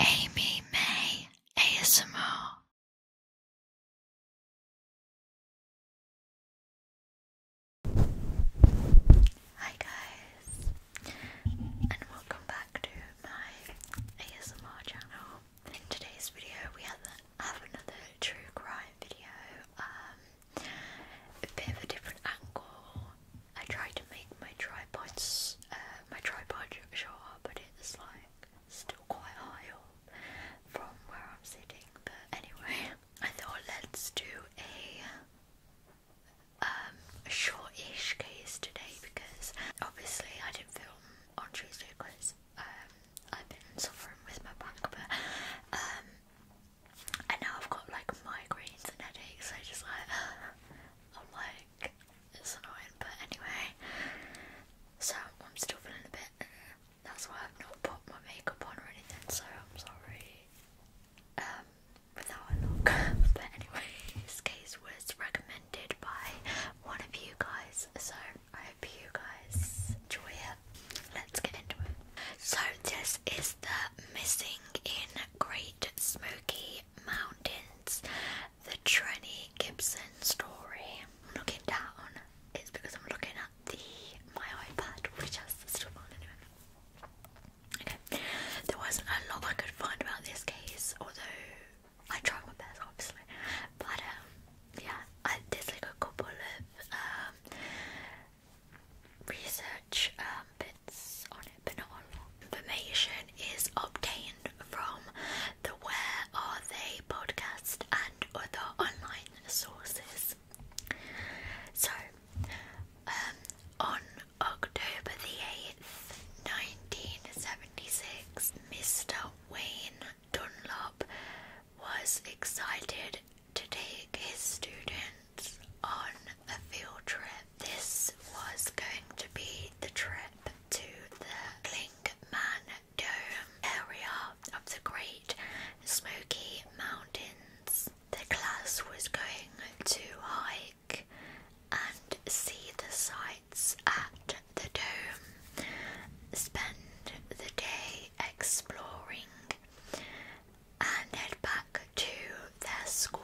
Amy May ASMR Hi guys and welcome back to my ASMR channel. In today's video we have, another true crime video, um, a bit of a different angle. I tried to make my tripod, uh, my tripod shorter, but it's like still quite high up from where I'm sitting. But anyway, I thought let's do a um a shortish case today because obviously I didn't film on Tuesday because um, I've been suffering with my back, but um, now I've got like migraines and headaches. So I just like I'm like it's annoying, but anyway. So I'm still feeling a bit. That's why I've not put my makeup on or anything. So I'm sorry. without a look. but anyway, this case was recommended by one of you guys. So I hope you guys enjoy it. Let's get into it. So this is the missing in Great Smoky Mountains the Trenny Gibson story. I'm looking down, it's because I'm looking at the my iPad, There was a lot I could find about this case, although I tried my best obviously. But um, yeah, I like a couple of um, research um, bits on but Information is obtained from the Where Are They podcast and other online sources. So, um, on October the 8th, 1976, Mr. Wayne Dunlop was excited to take his students on a field trip this was going to be the trip to the Klingman Dome area of the Great Smoky Mountains. The class was going to hike and see the sights at the dome, spend the day exploring, and head back to their school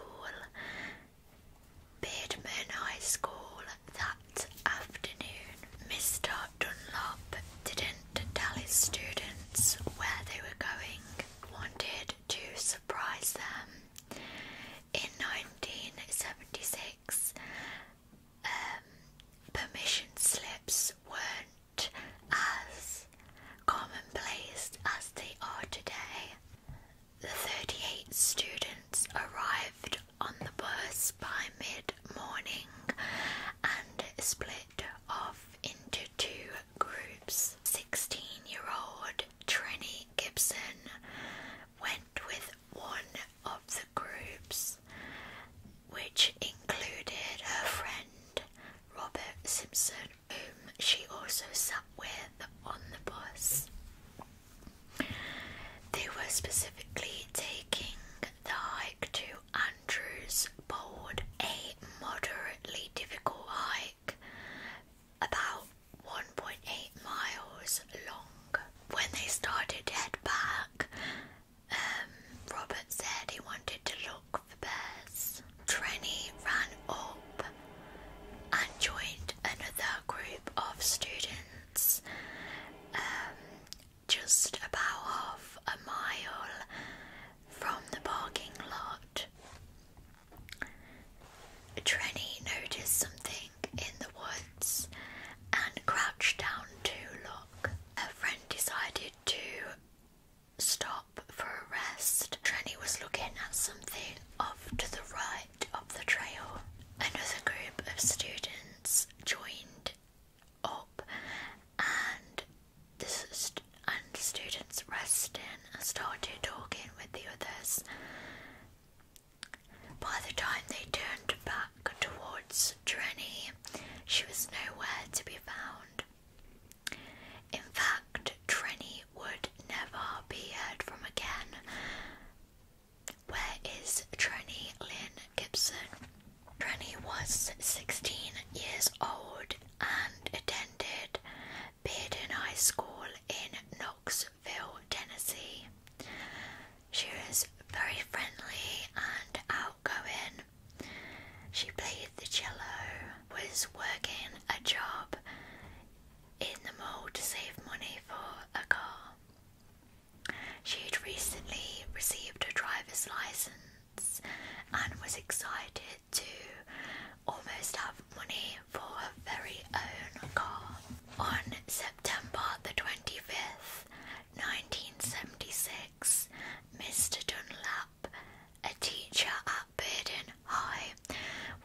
Beardman High School that afternoon. Mr. Dunlop didn't tell his students where they were going, wanted to surprise them. In 1976, um, permission slips weren't as commonplace as they are today. The 38 students arrived on the bus by mid morning and split off into two groups. 16 year old Trini Gibson went with one of the groups, which included her friend Robert Simpson, whom she also sat with on the bus. They were specifically taking the hike to Andrews Bold, a moderately difficult hike, about 1.8 miles long. When they started to head back, um, Robert said he wanted to look for bears. Trenny ran up and joined another group of students. Um, just about half a mile from the parking lot. Trenny noticed something in the woods and crouched down to look. Her friend decided to stop for a rest. Trenny was looking at something off to the right up the trail, another group of students joined up, and the st and students rested and started talking with the others. By the time they turned back towards Trenny, she was nowhere to be found. In fact, Trenny would never be heard from again, where is Tranny Lynn Gibson? Tranny was 16 years old and attended Bearden High School in Knoxville, Tennessee. She was very friendly and outgoing. She played the cello, was working a job in the mall to save money for a car. She had recently received her driver's license and was excited to almost have money for her very own car. On September the 25th, 1976, Mr. Dunlap, a teacher at Burden High,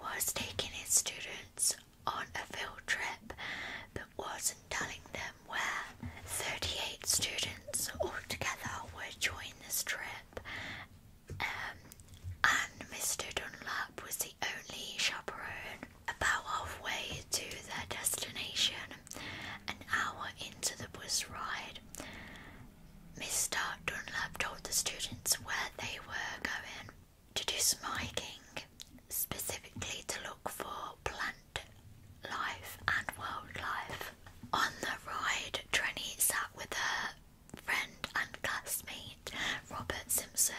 was taking his students on a field trip but wasn't telling them where. 38 students altogether were joining this trip, um, and Mr. Dunlap was the only chaperone. About halfway to their destination, an hour into the bus ride, Mr. Dunlap told the students where they were going to do smiking, specifically to look for plant life and wildlife. On the ride, Trini sat with her friend and classmate Robert Simpson.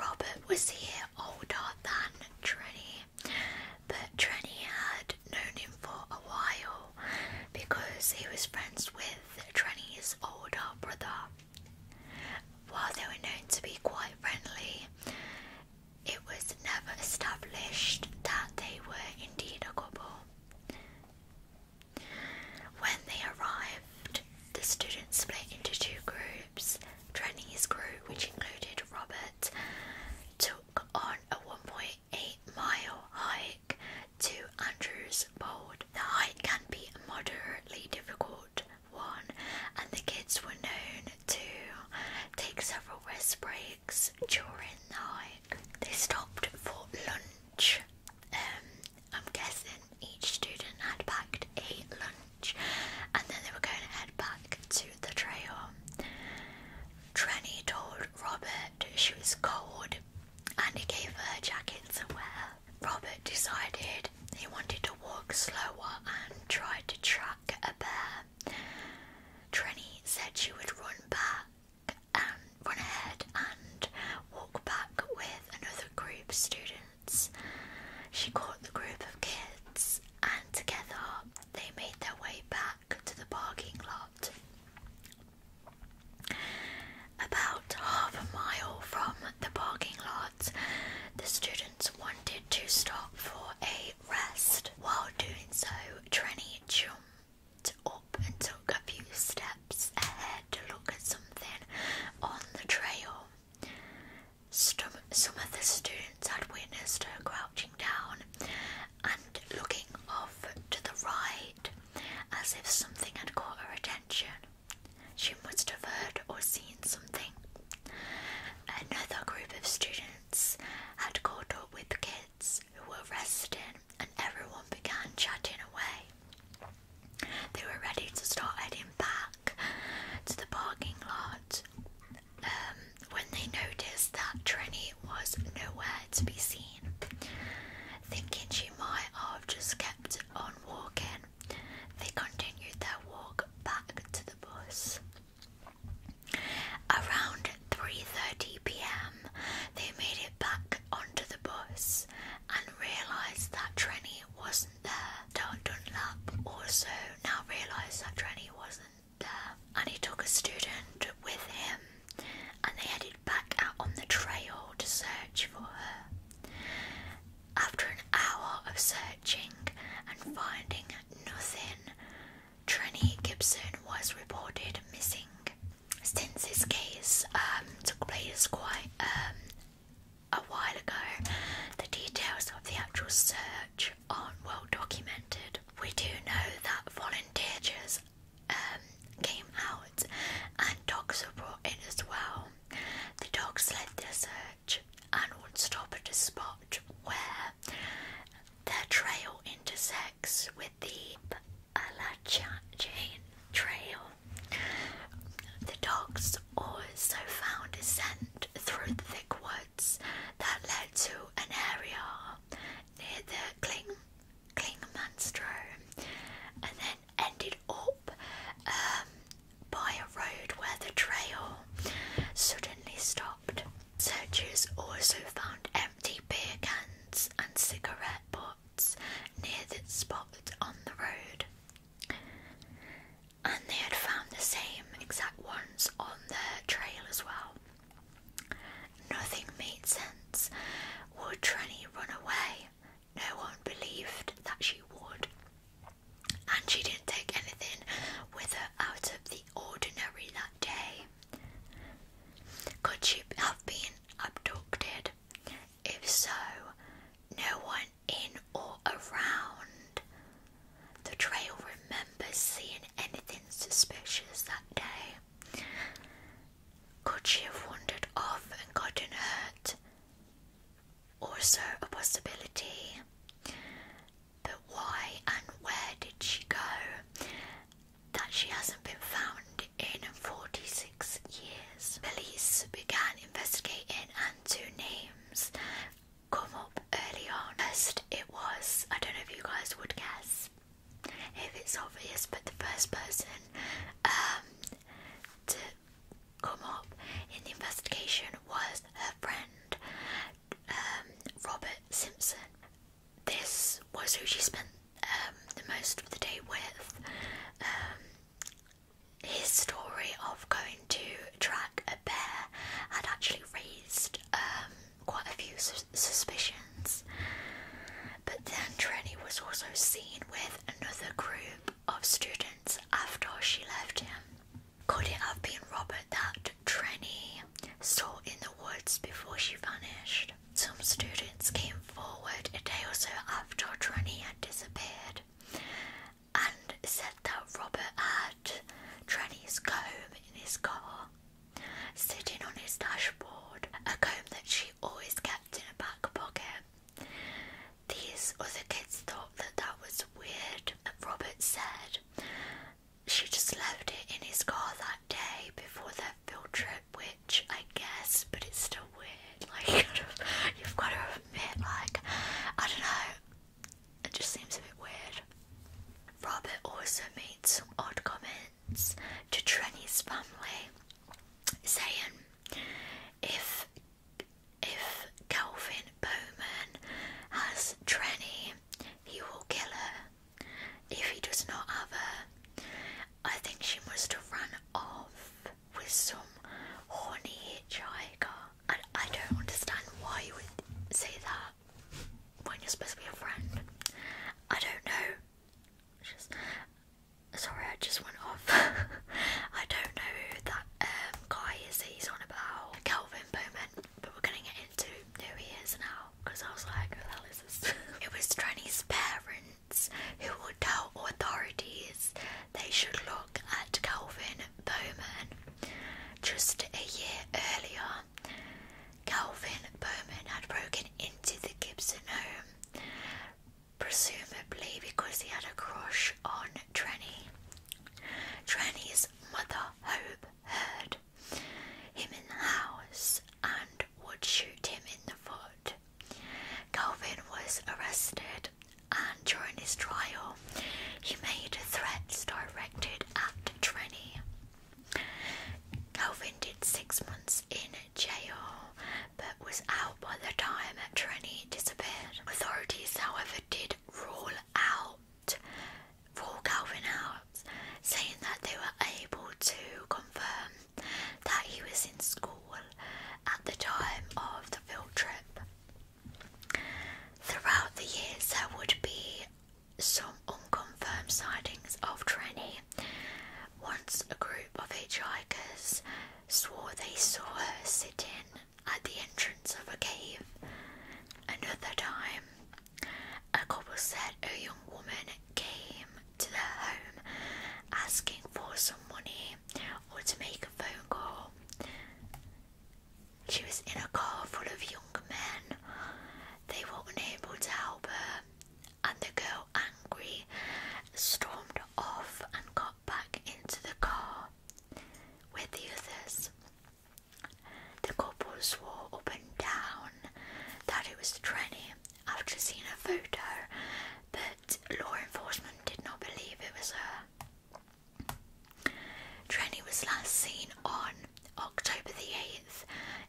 Robert was here older than Trini, but Trini had known him for a while because he was friends with Trini's older brother. While they were known to be quite friendly, it was never established that they were indeed a couple. When they arrived, the students split into two groups. Trenny's group, which included Robert, took on a 1.8 mile hike to Andrew's Bold. The hike can be moderately difficult one, and the kids were known to take several rest breaks during the hike. They stopped for lunch. Um, I'm guessing each student had packed a lunch, and then they were going to head back to the trail. Trenny told Robert she was cold, and he gave her a jacket to wear. Robert decided he wanted to walk slower and tried to track a bear. Trini said she would run back and run ahead and walk back with another group of students. She caught the group of kids and together they made their way back to the parking lot. About half a mile from the parking lot the students wanted to stop for a rest. While doing so, Trenny jumped up and took a few steps ahead to look at something on the trail. Some of the students had witnessed her crouching down and looking off to the right as if something had caught her attention. She must have heard or seen something. Another group of students had caught up with the kids who were resting, and everyone began chatting away. They were ready to start heading back to the parking lot um, when they noticed that Trini was nowhere to be seen. Thinking she might have just kept on walking. They continued their walk back to the bus. Around 3:30 p.m., they made it back onto the bus and realized that Trenny wasn't there. Dunlap also now realized that Trenny wasn't there, and he took a student with him, and they headed back out on the trail to search for her. After an hour of searching and finding nothing, Trini Gibson was reported missing. Since this case um, took place quite um, a while ago, the details of the actual search aren't well documented. We do know that volunteers um, came out and dogs were brought in as well. The dogs led the search and would stop at a spot where the trail intersects with the Appalachian Trail. The dogs also found a scent through the thick woods that led to an area near the Kling Klingmanstrom and then ended up um, by a road where the trail suddenly stopped. Searchers also found empty beer cans and cigarette butts near the spot on the road. And they had found the same exact ones on the trail as well. Nothing made sense. Would Trenny run away? No one believed that she would and she didn't take anything with her out of the ordinary that day. Could she have been abducted? If so, no one in or around the trail remembers seeing anything suspicious that day. Could she have wandered off and gotten hurt? also a possibility. But why and where did she go? That she hasn't been found in 46 years. Police began investigating, and two names come up early on. First, it was I don't know if you guys would guess if it's obvious, but the first person um, to Gomop in the investigation was her friend um, Robert Simpson. This was who she spent um, the most of the day with. Um, his story of going to track a bear had actually raised quite a few suspicions. But then Trini was also seen with another group of students after she left him. Could it have been Robert that Trenny saw in the woods before she vanished? Some students came forward a day or so after Trenny had disappeared and said that Robert had Trenny's comb in his car, sitting on his dashboard, a comb that she always kept in a back pocket. These other kids thought that that was weird. And Robert said she just left it in his car that day before their field trip, which I guess, but it's still weird. Like, you've got to admit, like, I don't know, it just seems a bit weird. Robert also made some odd comments to Trenny's family, saying, if if Calvin Bowman has Trenny, he will kill her. If he does not have her, I think she must have run off with some horny hitchhiker. I, I don't understand why you would say that when you're supposed to be a friend. I don't know. sorry, I just went off. I don't know who that guy um, is he's on about Kelvin Bowman, but we're gonna get into who he is now because I was like, who the hell is this? it was Trenny's parents who would tell authorities they should look at Calvin Bowman just a year earlier. Calvin Bowman had broken into the Gibson home, presumably because he had a crush on Tranny. Tranny's mother Hope heard him in the house and would shoot him in the foot. Calvin was arrested and during his trial he made threats directed at Tranny. Calvin did six months in jail but was out by the time Tranny disappeared. Authorities however did rule out for Calvin Hobbs, saying that they were able to confirm that he was in school at the time of the field trip. Throughout the years, there would be some unconfirmed sightings of Trenny. Once a group of hitchhikers swore they saw her sitting at the entrance of a cave. Another time, a couple said a young woman came to their home asking for some money or to make a phone call. She was in a car full of young men. They were unable to help her, and the girl, angry, stormed off and got back into the car with the others. The couple swore up and down that it was Trenny after seeing a photo, but law enforcement did not believe it was her. Trenny was last seen on October the 8th,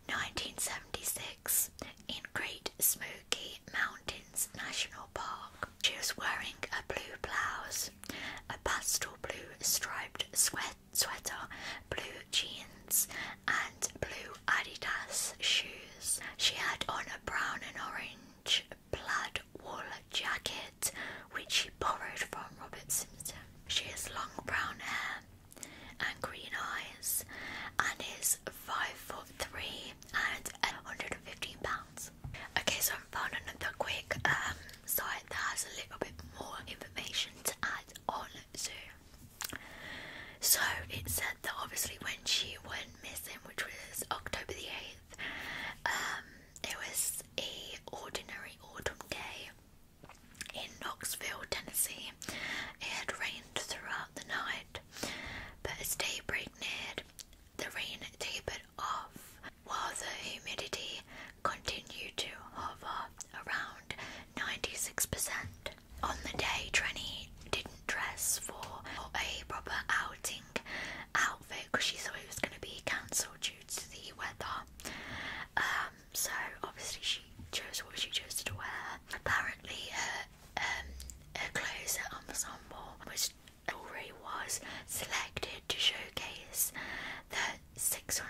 1976, in Great Smoky Mountains National Park. She was wearing a blue blouse a pastel blue striped sweater, blue jeans, and blue Adidas shoes. She had on a brown and orange plaid wool jacket, which she borrowed from Robertson. She has long brown hair and green eyes, and is five foot three and 115 pounds. Okay, so found another quick um, site that has a little bit more information to add on So it said that obviously when she went missing, which was October the eighth, um, it was a ordinary autumn day in Knoxville, Tennessee. It had rained throughout the night, but as daybreak neared, the rain tapered off while the humidity continued to hover around 96%. On the day, Trenny didn't dress for a proper outing outfit because she thought it was going to be cancelled due to the weather. Um, so obviously she chose what she chose to wear. Apparently, her, um, her clothes her ensemble, which already was selected to showcase the $600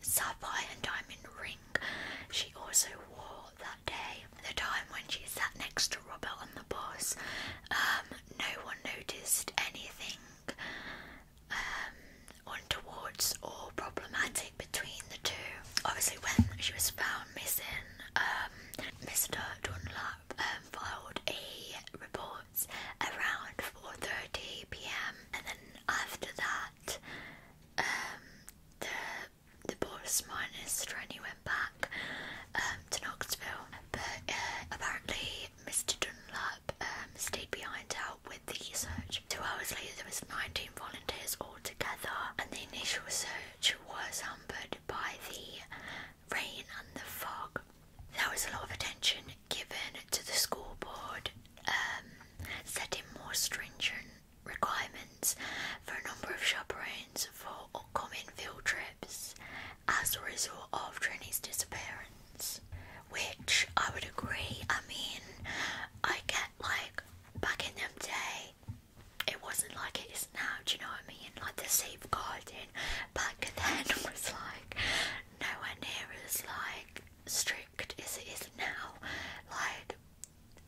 sapphire and diamond ring she also wore that day. The time when she sat next to Robert on the bus, um, no one noticed anything um, untowards or problematic between the two. Obviously, when she was found missing, Mr. Um, Dunlap um, filed a report around 4:30 p.m. and then after that, um, the the the Portsmouth Estrany went back um, to Knoxville, but uh, apparently Mr. Dunlap um, stayed behind to help with the search. Two hours later, there was 19 volunteers all together, and the initial search was hampered by the rain and the fog. There was a lot of attention given to the school board um, setting more stringent requirements for a number of chaperones for upcoming field trips as a result of Trini's disappearance. Which I would agree, I mean, I get like back in them day it wasn't like it is now, do you know what I mean? Like the safeguarding back then was like nowhere near as like strict as it is now. Like,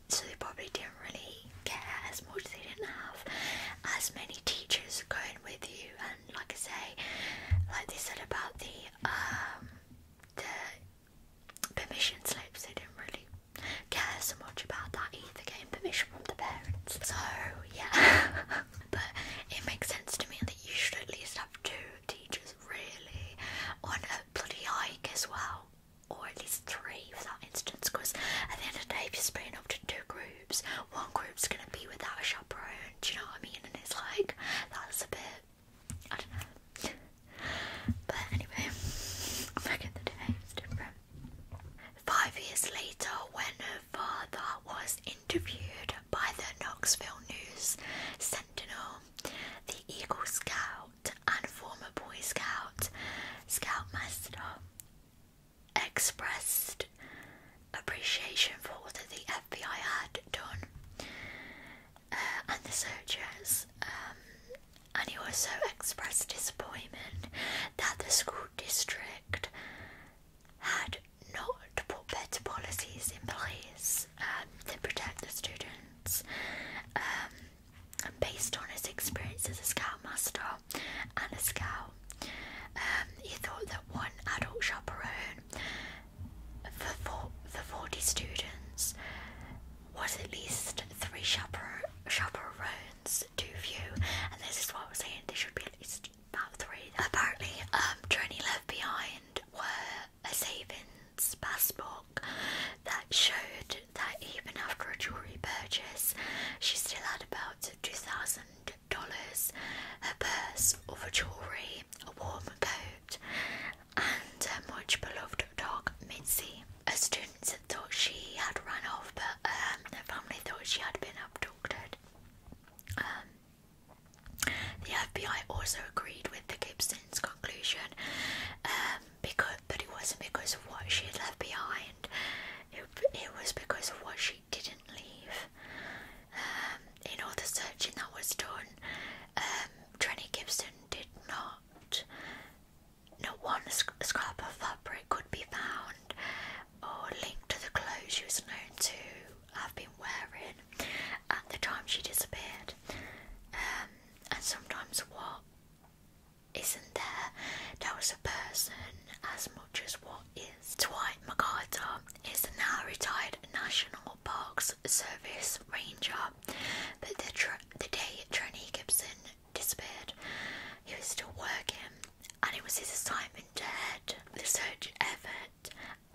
so they probably didn't really care as much. They didn't have as many teachers going with you. And like I say, like they said about the um the permission slips, they didn't really care so much about that either. Getting permission from the parents. So yeah, but it makes sense to me that you should at least have two teachers really on a bloody hike as well, or at least three for that instance. Because at the end of the day, if you're splitting up to two groups, one group's gonna be without a chaperone. Do you know what I mean? And it's like that's a bit. I don't know. But anyway, back in the day, it's different. Five years later, when her father was in interviewed by the Knoxville News Sentinel, the Eagle Scout and former Boy Scout Scoutmaster expressed appreciation for what the FBI had done uh, and the searches, um, and he also expressed disappointment that the school district had not put better policies in place um, to protect the students. Um, and based on his experience as a scoutmaster and a scout, um, he thought that one adult chaperone for, four, for 40 students was at least three chaper chaperones too few. And this is what I'm saying, there should be at least about three. Apparently, um, Trini left behind were a savings passbook that showed that even after a jewelry purchase, she still had about two thousand dollars, her purse, other jewelry, a warm coat, and a much beloved dog Mitzi. Her students thought she had run off, but um, her family thought she had been abducted. Um, the FBI also agreed with the Gibsons' conclusion, um, because but it wasn't because of what she had left behind. It, was because of what she didn't leave. Um, in all the searching that was done, um, Trini Gibson did not. Not one scrap of fabric could be found or linked to the clothes she was known to have been wearing at the time she disappeared, um, and sometimes what isn't there, there was a person as much as what is. Dwight MacArthur is the now retired National Parks Service Ranger, but the, the day Trini Gibson disappeared, he was still working and it was his assignment to head the search effort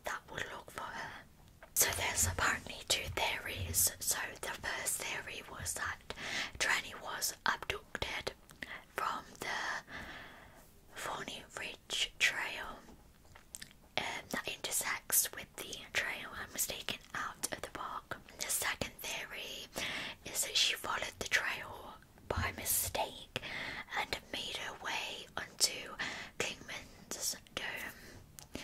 that would look for her. So there's apparently two theories. So the first theory was that Tranny was abducted from the Thorny Ridge Trail um, that intersects with the trail and was taken out of the park. The second theory is that she followed the trail by mistake and made her way onto Kingman's dome.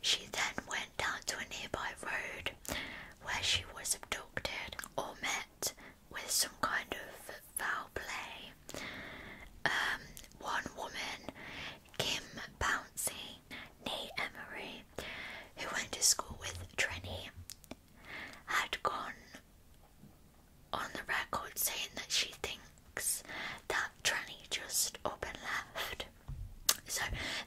She then went down to a nearby road where she was abducted or met with some kind of foul play. Um, one woman, Kim Bouncy, nee Emery, who went to school with Trini, had gone on the record saying that she thinks that Tranny just up and left. So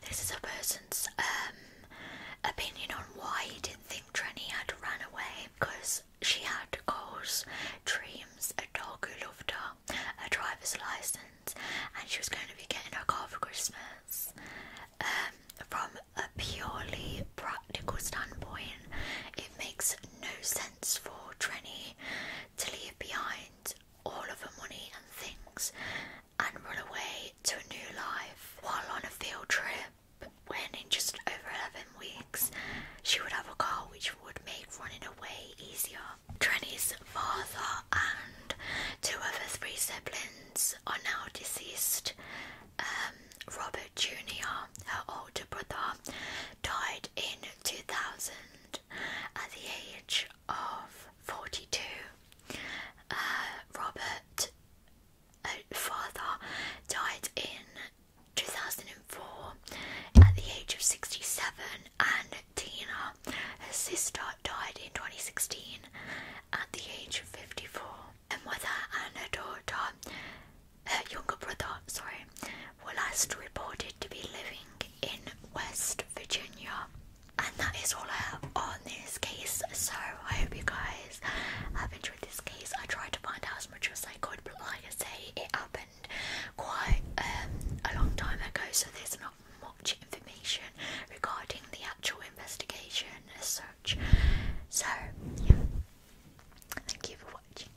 this is a person's um, opinion on why he didn't think Tranny had run away because she had goals, dreams, a dog who loved her, a driver's license, and she was going to be getting her car for Christmas. Um, from a purely practical standpoint, it makes no sense for Trenny to leave behind all of her money and things and run away to a new life while on a field trip when in just over 11 weeks she would have a car which would make running away easier. Trenny's father and two of her three siblings are now deceased. Um, Robert Jr., her older brother, died in 2000 at the age of 42. Uh, Robert uh, father died in 2004 at the age of 67 and Tina, her sister, died in 2016 at the age of 54. a mother and a daughter her younger brother, sorry, were last reported to be living in West Virginia. And that is all I have on this case. So I hope you guys have enjoyed this case. I tried to find out as much as I could, but like I say, it happened quite um, a long time ago, so there's not much information regarding the actual investigation as such. So yeah, thank you for watching.